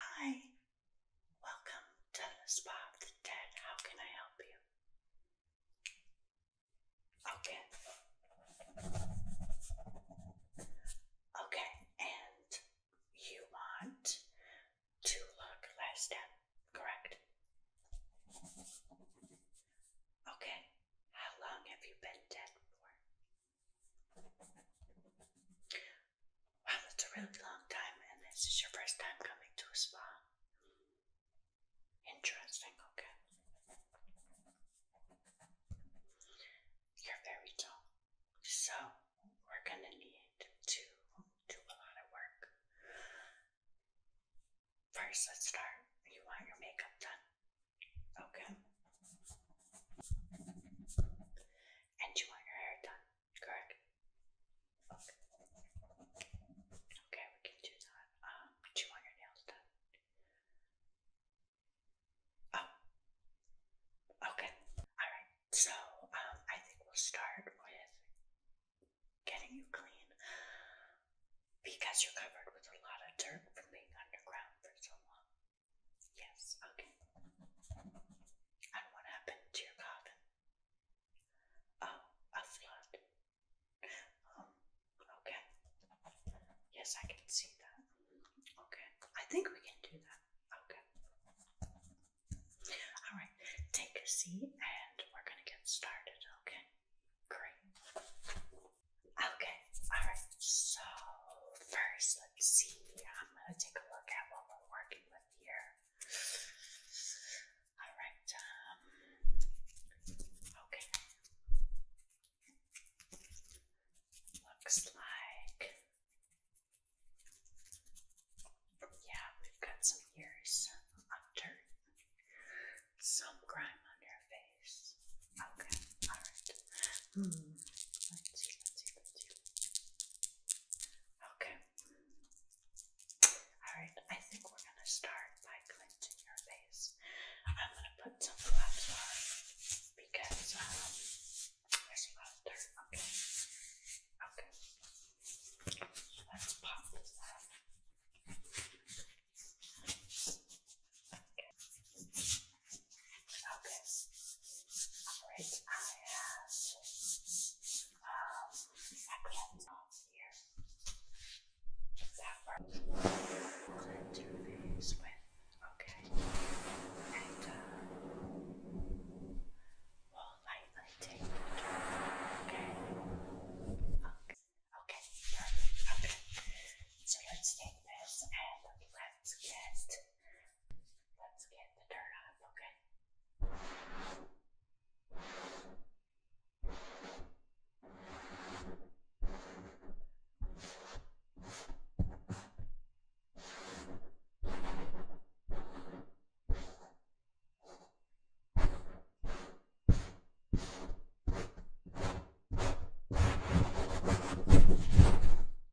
Hi, welcome to the Spa of the Dead. How can I help you? Okay. Okay, and you want to look less dead, correct? Okay, how long have you been dead for? Wow, that's a really long time, and this is your first time coming to a spa. Interesting, okay. You're very tall. So, we're going to need to do a lot of work. First, let's start. You want your makeup done? Okay. And you want your hair done? correct? Okay, we can do that. Um, do you want your nails done? Oh. Okay. Alright. So, um, I think we'll start with getting you clean because you're covered with a lot of dirt from being underground for so long. Yes, okay. And what happened to your garden? Oh, a flood. Um, okay. Yes, I can see that. Okay, I think we can do that. Okay. Alright, take a seat and we're gonna get started, okay? Great. Okay, alright, so first let's see. I'm gonna take a look at what we're working with of All right. Um, okay. Looks like. Yeah, we've got some ears under, some grime on your face. Okay, alright. Hmm. Let's see, let's see, let's see. Okay. Alright, I think we're going to start by cleansing your face. I'm going to put some gloves on because um, there's a lot Okay. Okay. let's pop this up. Okay. Okay. Alright, I have um acronyms on here. That work. I'm do these with okay. And we'll lightly take Okay. Okay. Okay, perfect. So let's take this and let's get Let's get the dirt off, okay?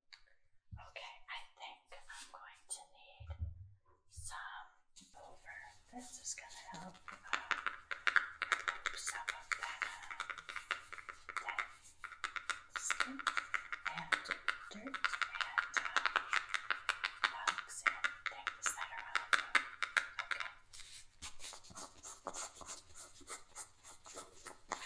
Okay, I think I'm going to need some over. This is going to help uh, some of that, uh, that skin and dirt and uh, bugs Okay.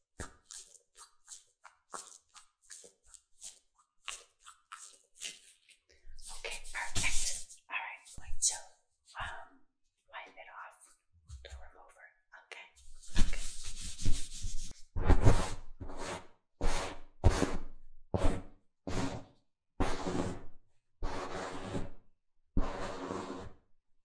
Okay, perfect. All right, I'm um, wipe it off the remover. Okay. Okay.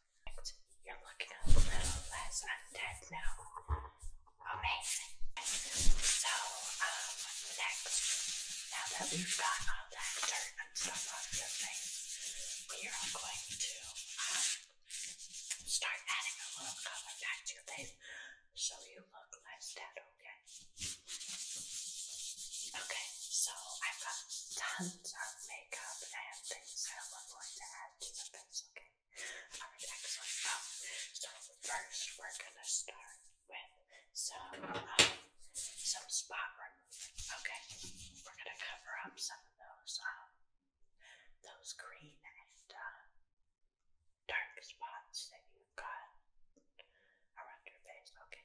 You're looking a little less undead now. Amazing. So, um, next, now that we've got all that dirt and stuff off your face, we are going to um, start adding a little color back to your so you look less dead, okay? Okay, so I've got makeup and things that we're going to add to the face, okay? Alright, excellent. Um, so first we're gonna start with some um, some spot remover. Okay. We're gonna cover up some of those um, those green and uh, dark spots that you've got around your face. Okay.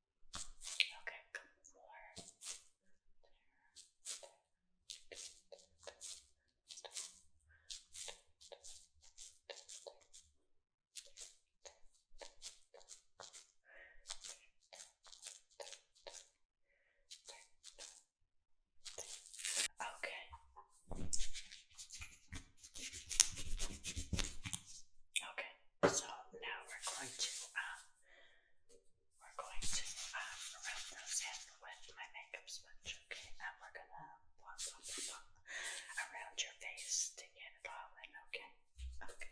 Okay, a Okay. Okay, so now we're going to um, we're going to um, rub those in with my makeup sponge, okay? And we're gonna blot, blot, blot, around your face to get it all in, Okay. Okay,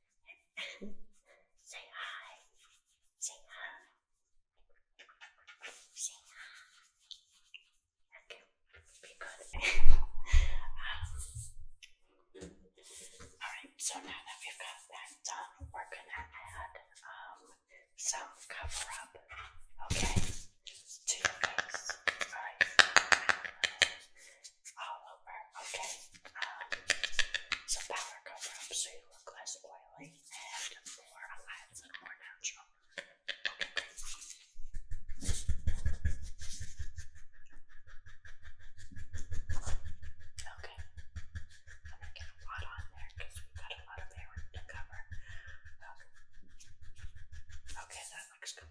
Say hi. Say hi. Say hi. Okay, be good. Um, Alright, so now that we've got that done, we're gonna add um, some cover up, okay, all over. Okay. Um, powder cover up so you look less oily and more alive and more natural. Okay, I'm gonna get a lot on there because we've got a lot of hair to cover. Okay. Okay, that looks good.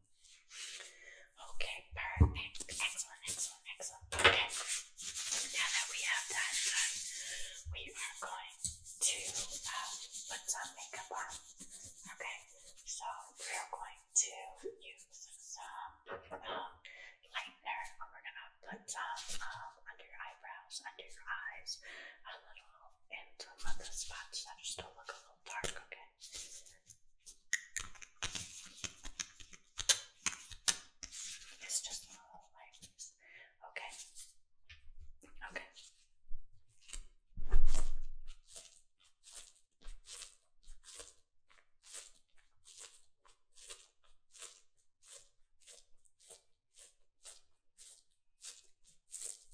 Okay, perfect. Excellent, excellent, excellent. Okay. Now that we have that done, we are going to um, put some makeup on. Okay, so we're going to use some um, and We're going to put some um, under your eyebrows, under your eyes, a little in some of the spots that not look a little dark. Okay. It's just one of the lights. Okay. Okay. Okay.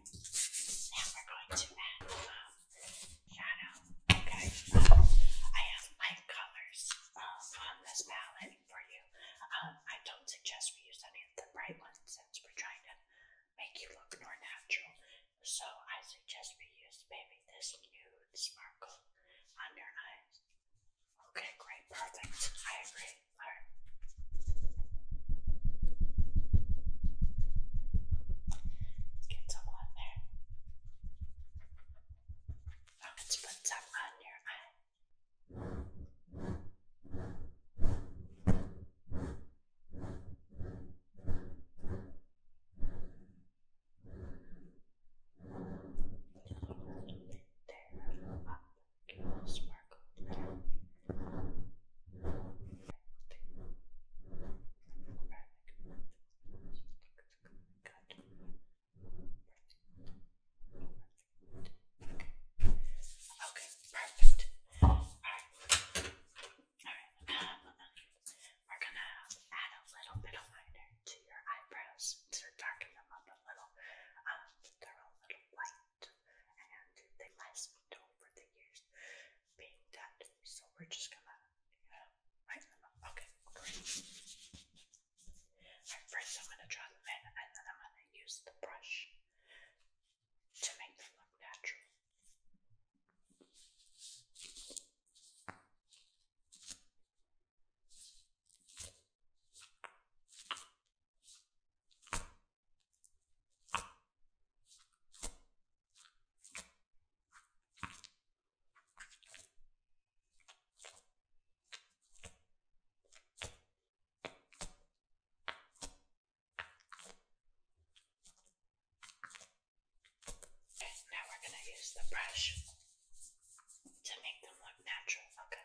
Now we're going to add um, shadow. Okay. I have light colors um, on this palette for you. Um, I don't suggest we use any of the bright ones since we're trying to make you look more natural. So I suggest we use maybe this nude sparkle on your eyes. Okay, great, perfect. I agree. All right. Let's get some on there. Now let's put some on your eye. There, up, smart sparkle. Okay, perfect. Alright. Alright, um, we're gonna add a little bit of liner to your eyebrows to darken them up a little. Um, they're a little light that. And they lasted over the years being that. So we're just gonna, you write them up. Okay, first I'm gonna draw them in and then I'm gonna use the brush to make them look natural now we're going to use the brush to make them look natural. Okay,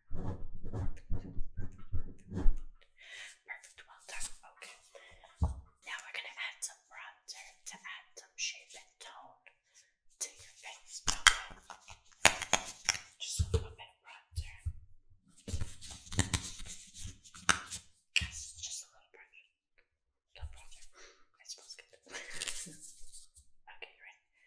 Perfect, well done. Okay. Now we're going to add some bronzer to add some shape and tone to your face. Just a little bit of bronzer. Yes, just a little bronzer. Little bronzer. good. okay, you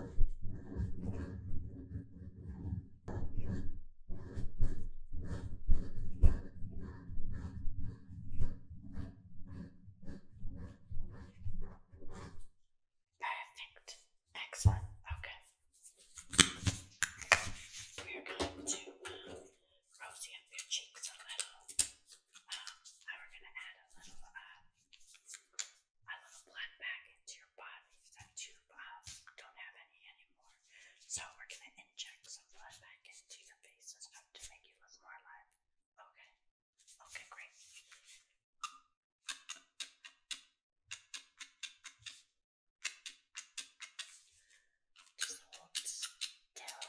Perfect. Excellent. Okay. We are going to um, rosy up your cheeks a little. Um, and we're going to add a little uh, a little blood back into your body that you um, don't have any anymore. So we're going to inject some blood back into your face and stuff to make you look more alive. Okay. Okay, great. Just hold still.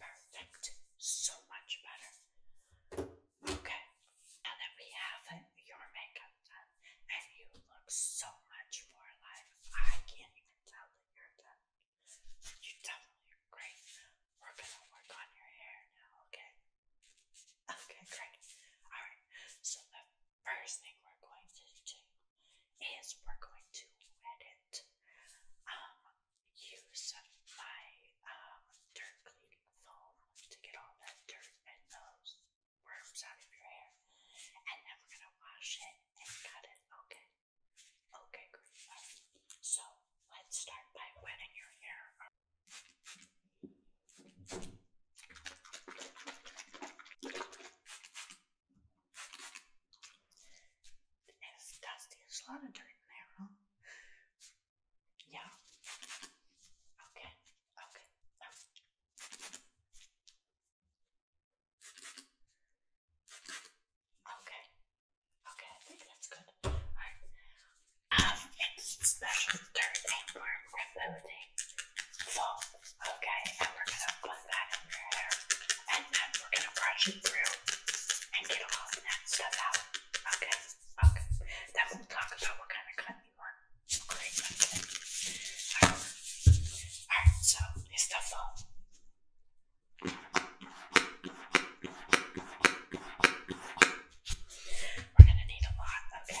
Perfect. So much better. Okay. Now that we have your makeup and you look so much more alive. I can't even tell that you're done. You definitely great. We're gonna work on your hair now, okay? Okay, great. Alright, so the first thing we're going to do is we're going to wet Um, use my um, dirt cleaning foam to get all that dirt and those worms out of your hair. And then we're going to wash it and cut it. Okay. Okay, great. So let's start by wetting your hair. It's dusty. There's a lot of dirt in there, huh? Yeah. Okay. Okay. Oh. Okay. Okay, I think that's good. Alright. Um, it's special dirt and worm rebuilding foam. Okay, and we're gonna put that in your hair. And then we're gonna brush it through and get all that stuff out. Okay, okay. Then we'll talk about what kind of cut you want. Great. Alright, so it's the phone. We're gonna need a lot, okay?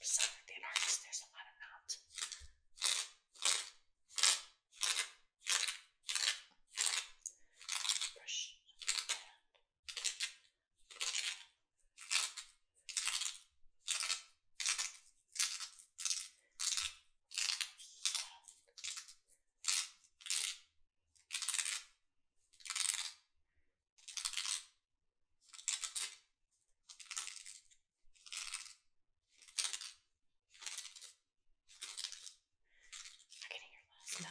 Some of the artists, there's a lot of not. Brush and brush, brush, I'm getting your last nut. Yep.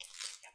Yep. Yep.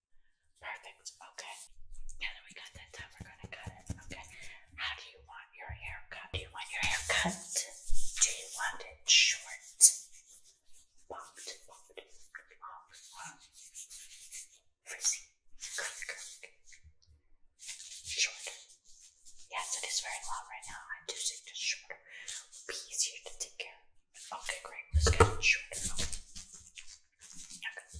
Perfect. Okay. Now that we got that done, we're gonna cut it. Okay. How do you want your hair Do you want your hair Do you want it short? Bobbed, bobbed, long, frizzy, curly, curly, Yes, it is very long right now. I do think the shorter be easier to take care of. Okay, great. Let's get it shorter. Okay.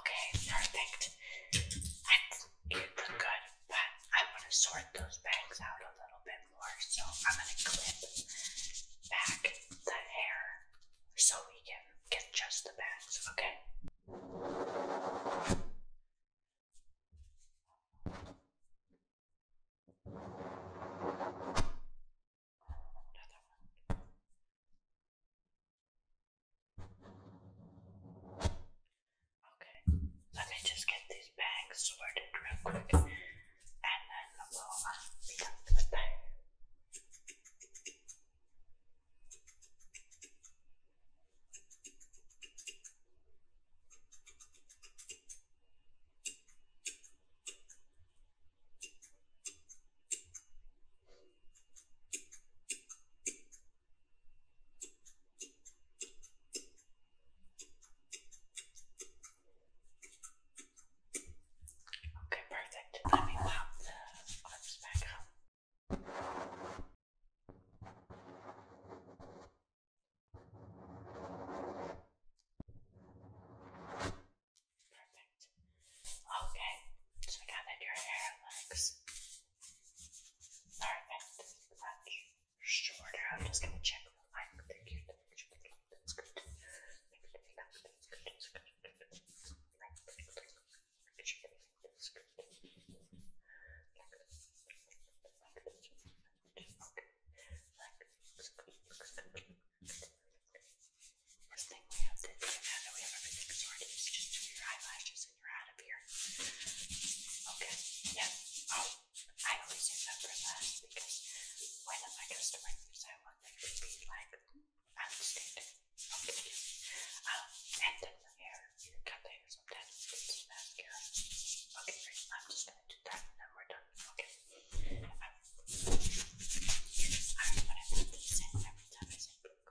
Okay, perfect. I think good, but I want to sort those bangs out a little bit more. So I'm going to clip back the hair so we can get just the bangs, okay? Okay, let me just get these bags sorted real quick and then we'll uh, be done for Okay, perfect. Let me pop the lips back up. Perfect. Okay, so now that your hair looks perfect, much shorter, I'm just going to check First thing we have to do now that we have everything sorted is just do your eyelashes and you're out of here. Okay, yeah. Oh, I always do that for last because when my customer leaves, I want them to be like outstanding. Okay, yeah. Um, and then the hair, your cut the hair sometimes gets mascara. Okay, great. I'm just gonna do that and then we're done. Okay. Um, I want to put this in every time I say blue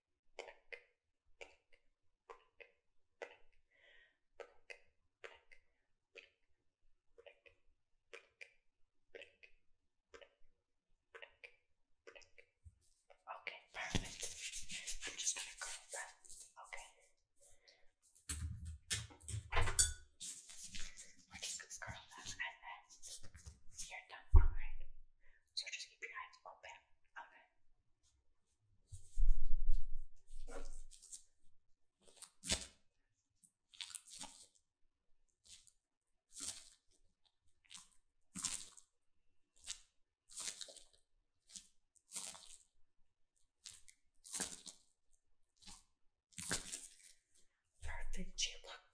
Okay, perfect. I'm just gonna curl that. Okay. We're just gonna curl that and then you're done. Alright so just keep your eyes open. Okay. Perfect,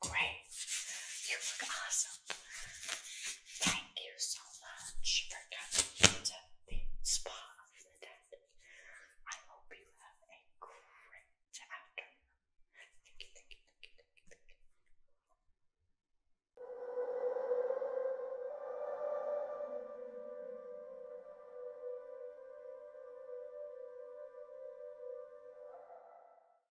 great. You look awesome. Thank you so much for coming to the spa of the dead. I hope you have a great afternoon.